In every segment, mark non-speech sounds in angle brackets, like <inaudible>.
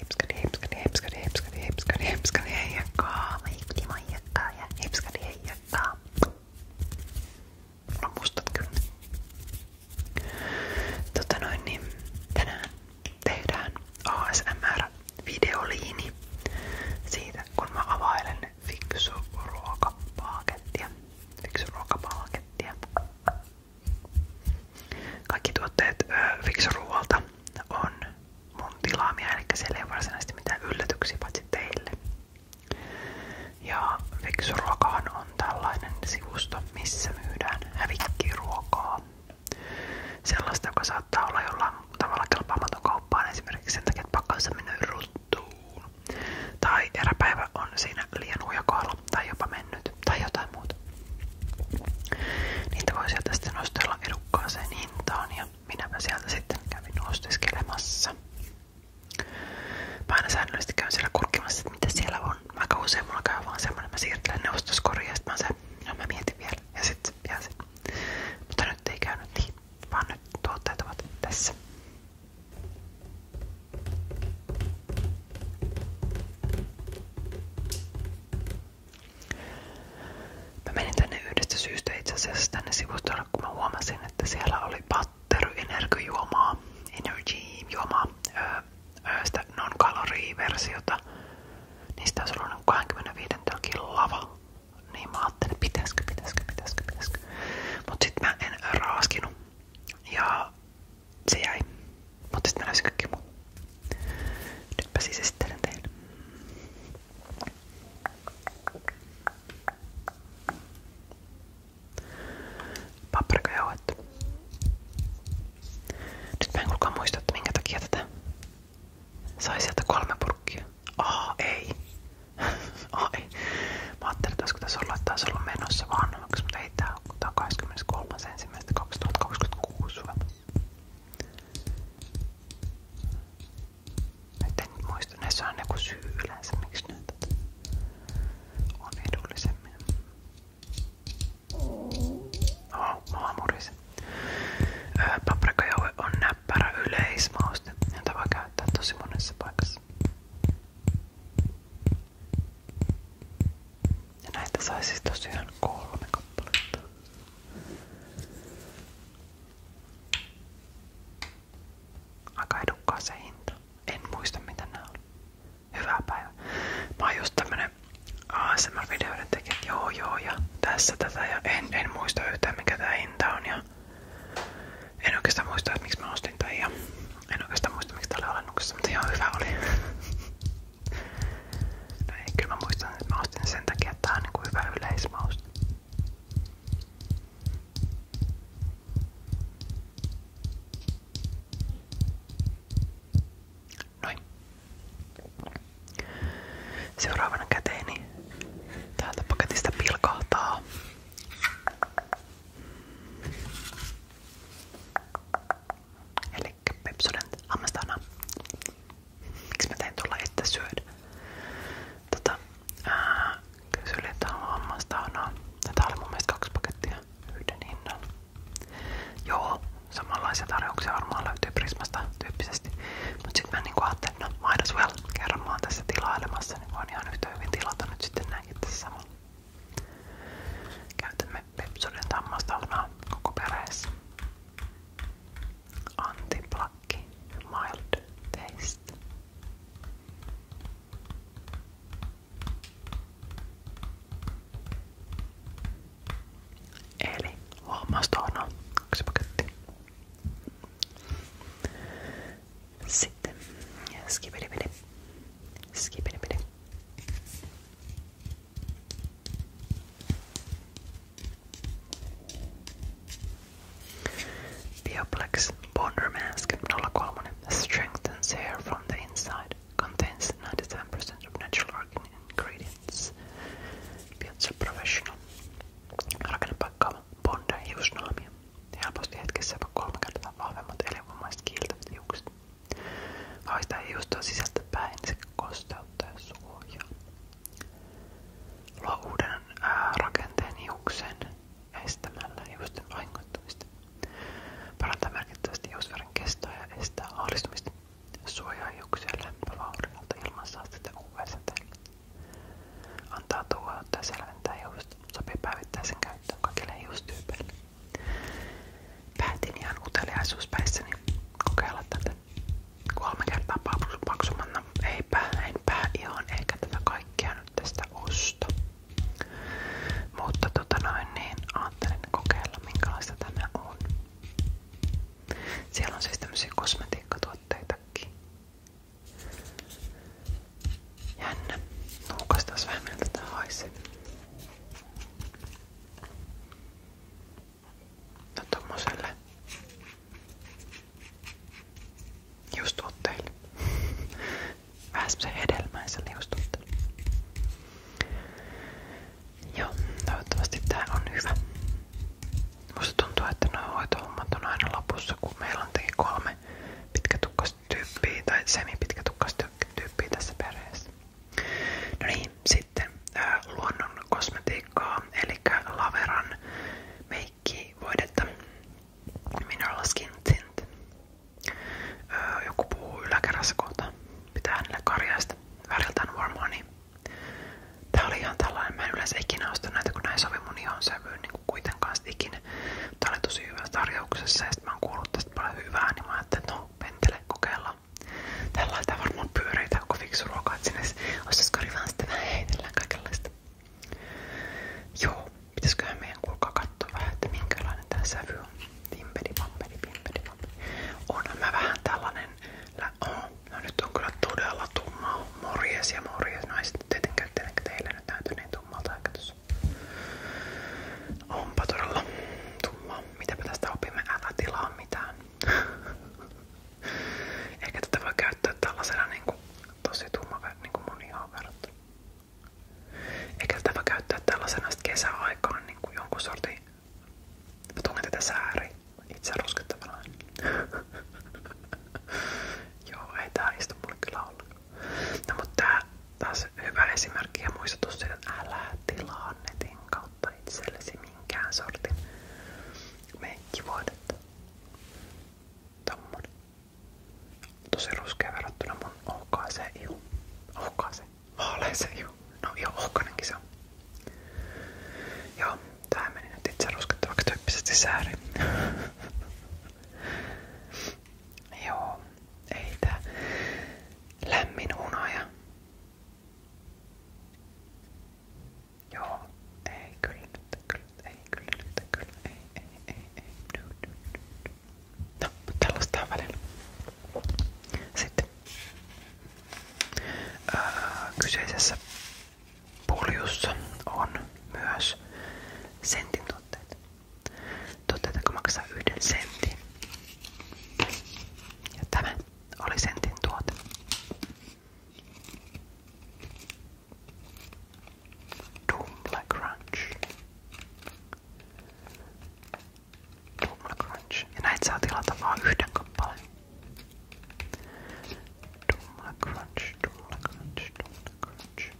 Hipskadi, hipskadi, hipskadi, hipskadi, hipskadi, hipskadi, heijakkaa. Mä hipti, mä heijakkaa ja hipskadi, heijakkaa. Mulla on mustat kyllä. Tota noin, niin tänään tehdään ASMR-videoliini siitä, kun mä availen fiksu ruokapakettia. Fiksu ruokapakettia. Kaikki tuotteet Fiksuruualta on mun tilaamia, eli siellä ei varsinaisesti yllätyksiä paitsi Ja Fiksuruokahan on tällainen sivusto, missä myydään hävikkiruokaa. Sellaista, joka saattaa olla jollain tavalla sen takia, että pakkaus Tai eräpäivä on siinä lienuja tai jopa mennyt tai jotain muuta. Niitä voi sieltä sitten nostella edukkaaseen hintaan ja minäpä sieltä sitten kävin ostiskelemassa. Mä aina säännöllisesti käyn siellä kurkkimassa, että mitä siellä on. Aika usein mulla käy vaan semmonen, mä siirtelen ne ostoskoriin ja sit mä, se, no mä mietin vielä ja sit jää se. Mutta nyt ei käynyt niin, vaan nyt tuotteet ovat tässä. Mä menin tänne yhdestä syystä itse asiassa tänne sivustolle, kun mä huomasin, että siellä oli pattery energijuomaa, energy juomaa, öö, sitä non-calorie-versiota. Niistä olisi ollut 25 telkin lava. Niin mä ajattelin, pitäisikö, pitäisikö, pitäisikö, pitäisikö. Mut sit mä en raaskinut. Ja se jäi. Mutta sitten mä löysin kaikki muu. Nytpä siis esittelen teille. Paprikajauhet. Nyt mä en kukaan että kolme purkkia. Aa, ei. <laughs> Aa, ei. Mä ajattelin, että olisiko tässä ollut, vanhemmaksi, mutta ei tää ole, tää on 23.1.2026. Nyt en nyt muista, näissä on joku syy yleensä, miksi näitä on edullisemmin. Oh, mua murisi. Paprikajoue on näppärä yleismauste, jota voi käyttää tosi monessa paikassa. Ja näitä sai siis tosiaan kolme kappaletta. Aika edukkaa se hinta. En muista mitä nää on. Hyvää päivää. Mä oon just tämmönen ASMR-videoiden tekijä, joo joo ja tässä tätä ja en, en muista yhtään mikä tää hinta on ja en oikeastaan muista, että miksi mä ostin tän ja en oikeastaan muista miksi tää oli alennuksessa, mutta ihan hyvä oli. <laughs> No ei, kyllä mä muistan, että mä ostin sen takia, että tää on niinku hyvä yleismaus. Noin. Seuraavana käteeni täältä paketista pilkahtaa Eli pepsoden hammastana. Miksi mä tein tuolla itse syödä? Tota, ää, kysyin, että on hammastaunaa. Tää oli mun mielestä kaksi pakettia yhden hinnan. Joo, samanlaisia tarjouksia varmaan löytyy Prismasta tyyppisesti. Mut sit mä niinku ajattelin, no might as well. Kerran mä oon tässä tilailemassa, niin voin ihan yhtä hyvin tilata nyt sitten näinkin tässä samalla. Käytämme Pepsoden tammastaunaa koko perheessä. Antiplakki mild taste. Eli huomastoona yksi paketti. Sit. Skip it a bit. Skip it a bit. Bioplex Bonder Mask 03 strengthens hair from the inside. Contains 97% of natural ingredients. Piazza Professional. Rakennepakkaava Bonder hiusnaamio. helposti hetkessä jopa kolme kertaa vahvemmat elinvammaiset kiiltävät hiukset. Haista niin sekä kosteutta ja suojaa. rakenteen hiuksen estämällä hiusten vahingoittumista. Parantaa merkittävästi hiusvärin kestoa ja estää ahdistumista. Suojaa hiuksia lämpövauriolta ilman Antaa tuohottaa ja selventää hiukset. Sopii päivittäisen käyttöön kaikille hiustyypeille. Päätin ihan uteliaisuuspäissäni niin kokeilla tätä kolme kertaa paksumanna. Eipä, enpä ihan ehkä tätä kaikkea nyt tästä osta. Mutta tota noin, niin ajattelin kokeilla minkälaista tämä on. Siellä on siis tämmöisiä kosmetiikkatuotteitakin. Jännä. Nuukas taas vähän miltä tää haisee. No tommoselle just tuotteille. Vähän se hedelmäiselle just tuotteille. Joo, toivottavasti tää on hyvä. Musta tuntuu, että nuo hoitohommat on aina lopussa, kun meillä on teki kolme pitkä tyyppiä tai semipitkätukkaista tyyppiä tässä perheessä. No niin, sitten ää, luonnon kosmetiikkaa, eli Laveran meikkivoidetta, Skin Tint. joku puhuu yläkerrassa pitää hänelle karjaista, väriltään Warm Honey. Niin tää oli tällainen, mä en yleensä ikinä osta näitä, kun näin sovi mun ihon sävyyn niin kuitenkaan sit ikinä. Niin, tää oli tosi hyvässä tarjouksessa ja sit mä oon kuullut tästä paljon hyvää, niin mä ajattelin, että no pentele kokeillaan. Tällä laitetaan varmaan pyöreitä koko fiksu ruoka, että sinne osaisiko rivään sitten vähän heitellään kaikenlaista. Joo, pitäisiköhän meidän kuulkaa katsoa vähän, että minkälainen tää sävy on. Pimpeli, pampeli, pimpeli, mä vähän tällainen, oh, no nyt on todella tumma. Morjes ja morjes, no ei tietenkään tietenkin teillä nyt näytän niin tummalta aika Onpa todella tumma. Mitäpä tästä opimme? Älä tilaa mitään. <laughs> Ehkä tätä voi käyttää tällaisena niin kuin, tosi tumma niin kuin mun ihan verrattuna. Eikä tätä voi käyttää tällaisena sit kesäaikaan niin kuin jonkun sortin... Mä tunnen tätä sääri itse ruskettavana. <laughs> Joo, ei tää istu mulle kyllä ollenkaan. No mutta tää taas hyvä esimerkki ja muistutus siitä, että älä tilaa netin kautta itsellesi minkään sortin meikkivuodetta. Tommonen. Tosi ruskea verrattuna mun ohkaaseen ihu. Ohkaaseen? Vaaleeseen ihu. No joo, ohkanenkin se on. Joo, tää meni nyt itse ruskettavaksi tyyppisesti sääri. <laughs> Joo, ei tää lämmin hunaja. Joo, ei kyllä nyt, kyllä, ei kyllä nyt, kyllä, ei, ei, ei, ei, du, du, du. No, mutta tällaista on välillä. Sitten öö, kyseisessä Puljussa on myös sentin tuotteita. Tuotteita, jotka maksaa yhden sentin. Ja tämä oli sentin tuote. Dumble Crunch. Dumble Crunch. Ja näitä saa tilata vaan yhden kappaleen. Dumble Crunch, Dumble Crunch, Dumble the crunch.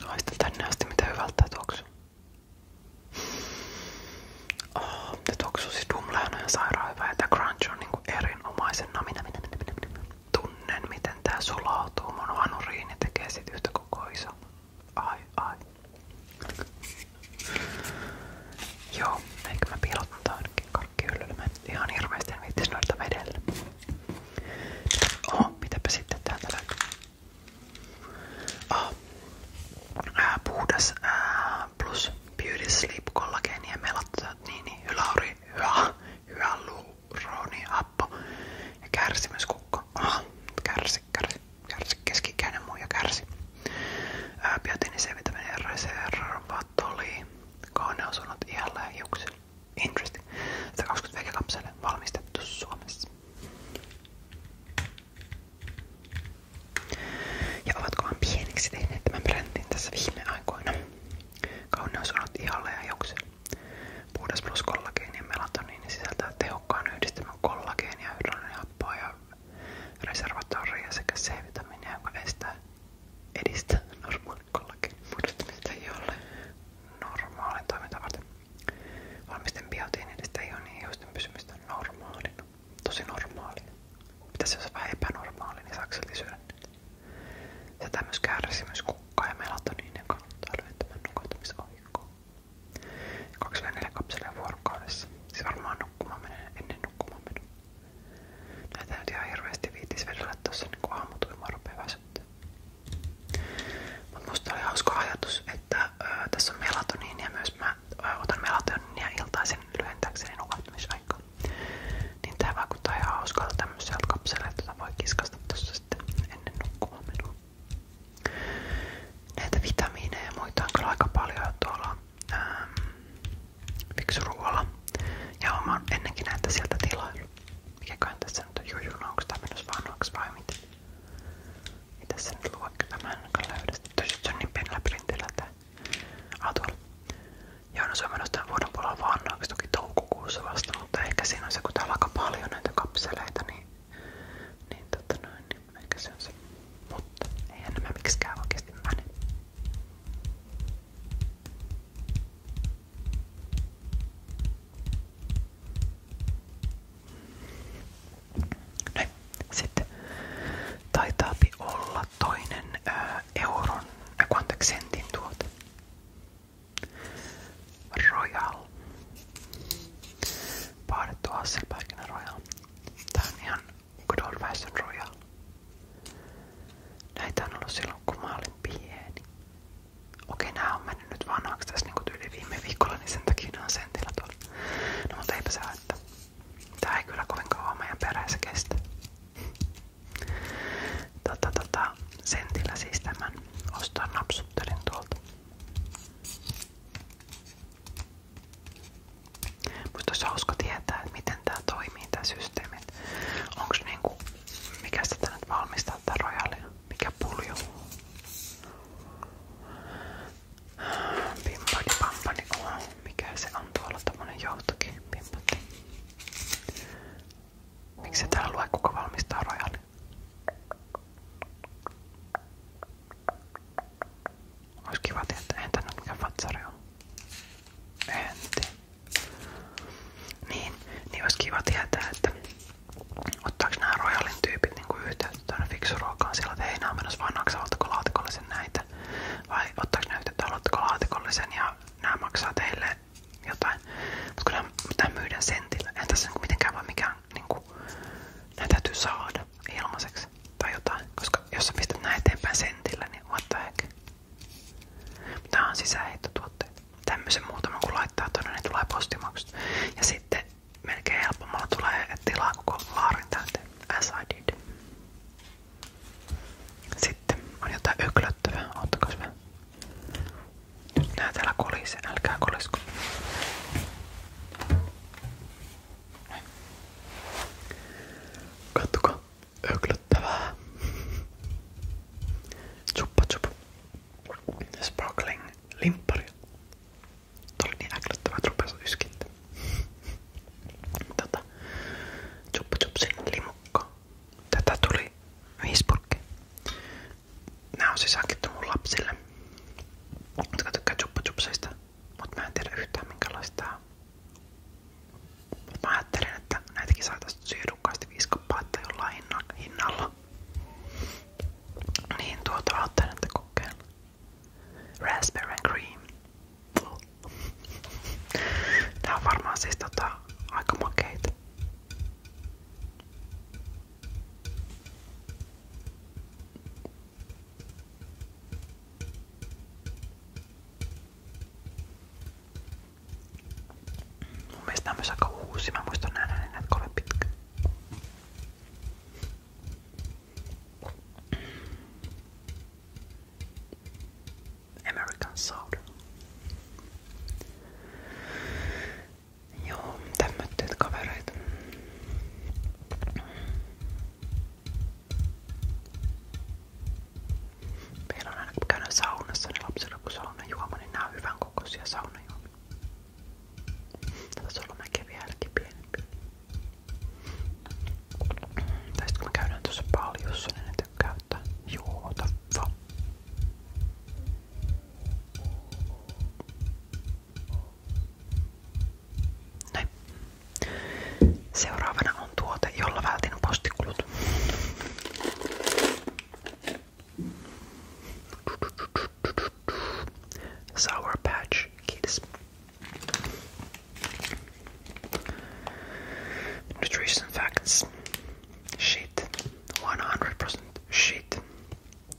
Haista tänne asti mitä hyvältä tuoksu. Oh, ah, se tuoksu siis dumleana ja sairaan hyvä, ja tää crunch on niinku erinomaisen namina. No, minä, minä, minä, minä, minä tunnen, miten tää sulautuu. Mun vanuriini tekee kokoisa. Ai, ai. Joo, eikö mä piilottaa ainakin karkkihyllylle. Mä ihan hirveesti en viittis noita vedellä. Oho, mitäpä sitten täältä löytyy? Äh, puhdas plus beauty sleep kollageeni ja melatoniini, hylauri, rooni, happo ja kärsi myös kukko. Aha, kärsi, kärsi, kärsi, keski-ikäinen muija kärsi. Biotiini C, vitamiini R, CR, vatoli, kauneusunnot iällä ja hiuksilla. Interesting. 120 vegakapselle valmistettu Suomessa. Ja ovatkohan pieniksi tehneet tämän brändin tässä viime aikoina? Kauneus on ihalle ja hiuksille. Puhdas plus kollageeni ja melatoniini sisältää tehokkaan yhdistelmän kollageenia, hydrogenihappoa ja reservatoria sekä C-vitamiinia, joka estää edistää normaalin kollageenin muodostumista jolle normaalin toimintaa varten. Valmisten biotiin edistää ionien hiusten pysymistä normaalina. Tosi normaalina. Pitäisi jos vähän epänormaali, niin saako syödä? Tätä myös kärsimys kukkaa ja melatoniinin kannattaa lyhentämään nukahtumisaikaa. 24 kapselia Se varmaan nukkumaan menee ennen nukkumaan menoa. Näitä no nyt ihan hirveästi viitis vedellä tossa niin aamutuimaa rupeaa ajatus, että tässä on melatoniinia myös. Mä ö, otan melatoniinia iltaisin lyhentääkseni nukahtumisaikaa. Niin tää vaikuttaa ihan hauskalta tämmöiseltä voi kiskasta tuossa sitten ennen nukkumaan menoa. Näitä vitamiineja ja muita on kyllä paljon tuolla ähm, Ja oon ennenkin näitä sieltä tilailu. Mikäköhän tässä nyt on no, Onko tää mennyt mitä? Ei tässä nyt luo, kyllä mä löydä sitä. Toiset se on niin pienellä printillä tää. Ah, tuolla. Joo, no se on menossa tämän vuoden puolella vanhaaksi toki toukokuussa vasta, mutta ehkä siinä se, kun täällä paljon näitä kapseleita, niin, niin, tota niin ehkä on se. Mutta eihän nämä miksikään oikeasti mene. Noin. Sitten olla toinen euron, äh, eh, anteeksi sentin tuote. Royal. Paadettu Hasselbergin Royal. Tää on ihan good old fashioned Royal. Näitä on ollut silloin kun mä olin pieni. Okei, nää on mennyt nyt vanhaksi tässä niinku tyyli viime viikolla, niin sen takia nää on sentillä tuolla. No mutta eipä se haittaa. Tää ei kyllä kovin kauan meidän perässä kestä tota, tota, sentillä siis tämän ostaa napsuttelin tuolta. Musta olisi hauska tietää, että miten tää toimii tää systeemi. Onks niinku, mikä sitä nyt valmistaa tää rojalia? Mikä pulju? Pimpani pampani, oh. Mikä se on tuolla tommonen joutokin pimpotti? Miksi se täällä lue kuka valmistaa rojan? Ois kiva tietää, entä nyt mikä vatsari on? Entä? Niin, niin ois kiva tietää, että ottaako nämä rojalin tyypit niinku yhteyttä tuonne fiksuruokaan sillä, että hei nää on menossa vaan naksa, laatikolle sen näitä? Vai tai ottaako ne yhteyttä, haluatteko laatikollisen ja nämä maksaa teille jotain. Mutta kun nämä myydään sentillä, en tässä niinku mitenkään voi mikään, niinku, nämä täytyy saada ilmaiseksi tai jotain, koska jos sä pistät nämä eteenpäin sentillä, niin what the heck. Tää on sisäänheittotuotteita. Tämmöisen muutaman kun laittaa tuonne, niin tulee postimaksut. Ja sitten melkein helpommalla tulee, että tilaa koko laarin täyteen. As I did. Sitten on jotain öklöttävää. Ottakas vähän. Nyt nää täällä kolise. Älkää kolisko. Kattokaa. Öklöttävää. Tsupa tsup. Sparkling limppari. Tuli niin äklöttävä, että rupesi että tota, Chupa Chupsin limukka. Tätä tuli Viisburgki. Nää on siis hankittu mun lapsille, jotka tykkää Chupa Chupsista, mut mä en tiedä yhtään minkälaista tää on. Mut mä ajattelin, että näitäkin saatais syödukkaasti viisi kappaletta jollain hinnalla. Niin tuota ajattelin, että kokeilla. Raspberry and cream. <laughs> Tää on varmaan siis tota, aika makeita. Mun mielestä on myös aika uusi. Mä muistan nähdä ne näitä kovin pitkä. American Soda. Joo, tämmöitteet kavereita. Meillä on aina kun käydään saunassa, niin lapsilla kun saunajuoma, niin nää on hyvän kokoisia saunajuomia. Tässä on mäkin vieläkin pienempi. Tai sit kun me käydään tuossa paljossa, niin ne tykkää ottaa juota va. Näin. Seuraavana on tuote, jolla vältin postikulut. Sour Patch Kids Nutrition facts. Shit. 100% shit.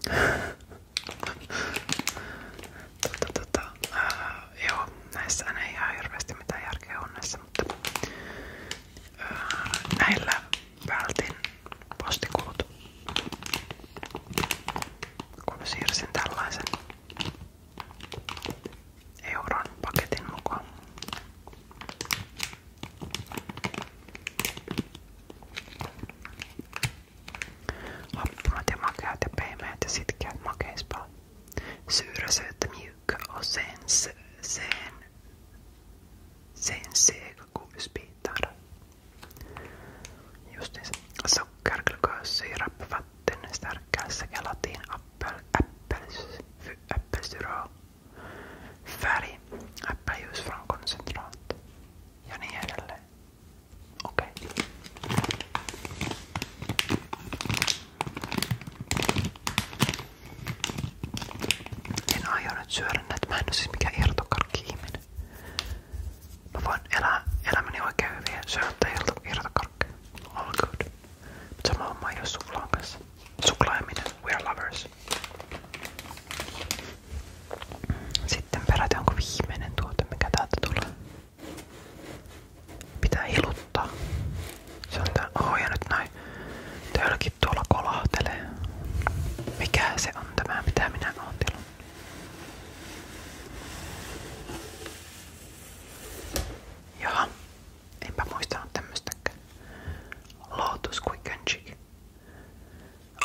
Totta, totta. Uh, joo, näissä ei ihan hirveästi mitään järkeä on näissä, mutta uh, näillä vältin postikulut, kun siirsin tällaisen euron paketin mukaan. Happunat ja makeat ja pehmeät ja sitkeät makeispaa. Syyrä, sen, sen, sen seg godisbitar. Just det. Sockerglukos, sirap, den starkaste gelatin appel, appels, äppelsyra, Ja niin edelleen. Okei. En aio nyt syödä näitä. Mä en ole siis mikään irtokarkki-ihminen. Mä voin elää elämäni oikein hyvin syöttää irtokarkkeja. All good. Mutta sama homma ei oo suklaan we are lovers. Sitten peräti onko viimeinen tuote, mikä täältä tulee. Pitää hiluttaa. Se on tää, nyt näin. Tölkit tuolla kolahtelee. Mikä se on tämä, mitä minä oon tilannut? Jaha, enpä muistanut tämmöstäkään. Lotus quick and chick.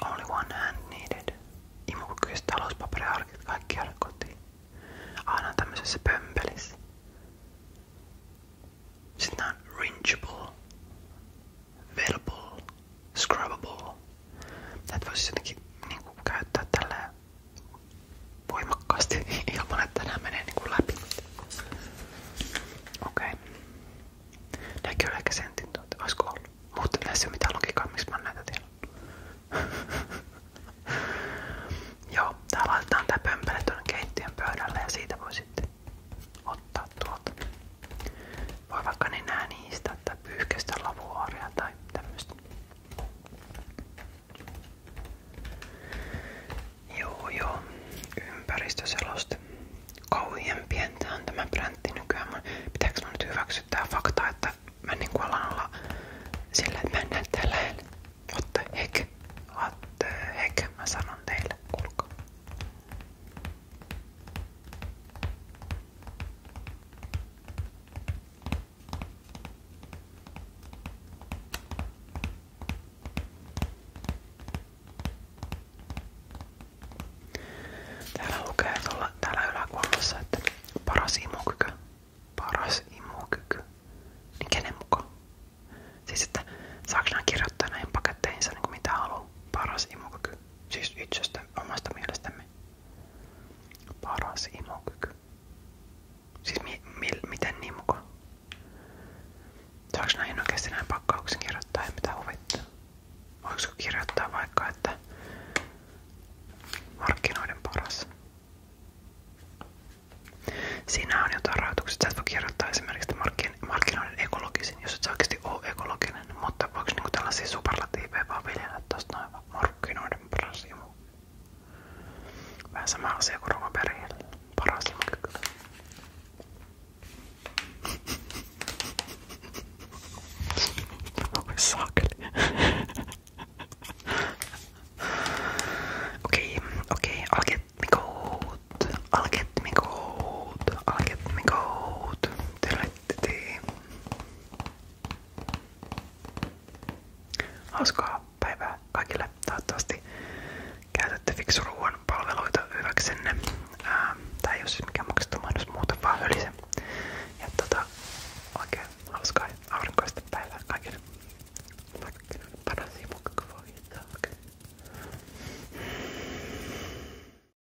Only one hand needed. Imukykyiset talouspaperiarkit kaikki jäädä kotiin. Aina tämmöisessä pömpelissä. Sitten on ringeable, velable, scrubbable. Tätä voisi jotenkin niin kuin, käyttää tällä voimakkaasti <laughs> ilman, että nämä menee niin kuin, läpi. Okei. Okay. Nämäkin on ehkä sentin tuota. Olisiko ollut? Mutta näissä ei ole mitään logiikkaa, miksi mä näitä tiedän. <laughs> Joo, tää laitetaan tää pömpele tuonne keittiön pöydälle ja siitä voi sitten ottaa tuolta voi vaikka nenää niistä tai pyyhkäistä lavuaaria tai tämmöistä. Joo joo, ympäristöseloste. Kauhien pientä on tämä bräntti nykyään. Mun, pitääkö mun nyt hyväksyä tää fakta, että mä niinku alan olla sillä, että mä en näe tää lähellä. Otte hek, otte hek, mä sanon teille, kuulkaa. Täällä lukee tuolla, täällä yläkuollossa, että paras imukyky. Paras imukyky. Niin kenen mukaan? Siis että saaks nää kirjoittaa näihin paketteihinsa niin kuin mitä haluaa. Paras imukyky. Siis itsestä omasta mielestämme. Paras imokyky. Siis mi, mi, miten niin mukaan? Saaks näihin oikeesti näin pakkauksen kirjoittaa ja mitä huvittaa? Voisiko kirjoittaa vaikka, että markkinoiden paras? Siinä on jotain rajoituksia. Sä et voi kirjoittaa esimerkiksi markkinoiden ekologisin, jos et sä oikeasti ole ekologinen, mutta mutta voiko niinku tällaisia superlatiiveja vaan viljellä tosta noin markkinoiden paras imu? Vähän sama asia kuin ruokaperillä. Paras imu kyllä. Oi saakeli. Okei, okei. Alket me goat. Alket me goat. Alket me goat. Tervetuloa miettii. Hauskaa päivää kaikille. Toivottavasti käytätte fiksu ruoan palveluita hyväksenne. Ää, ähm, tää ei oo siis mikään maksettu mahdollisuus muuta, vaan hölise. Ja tota, oikein hauskaa ja aurinkoista päivää kaikille. Markkinoiden paras ja mukava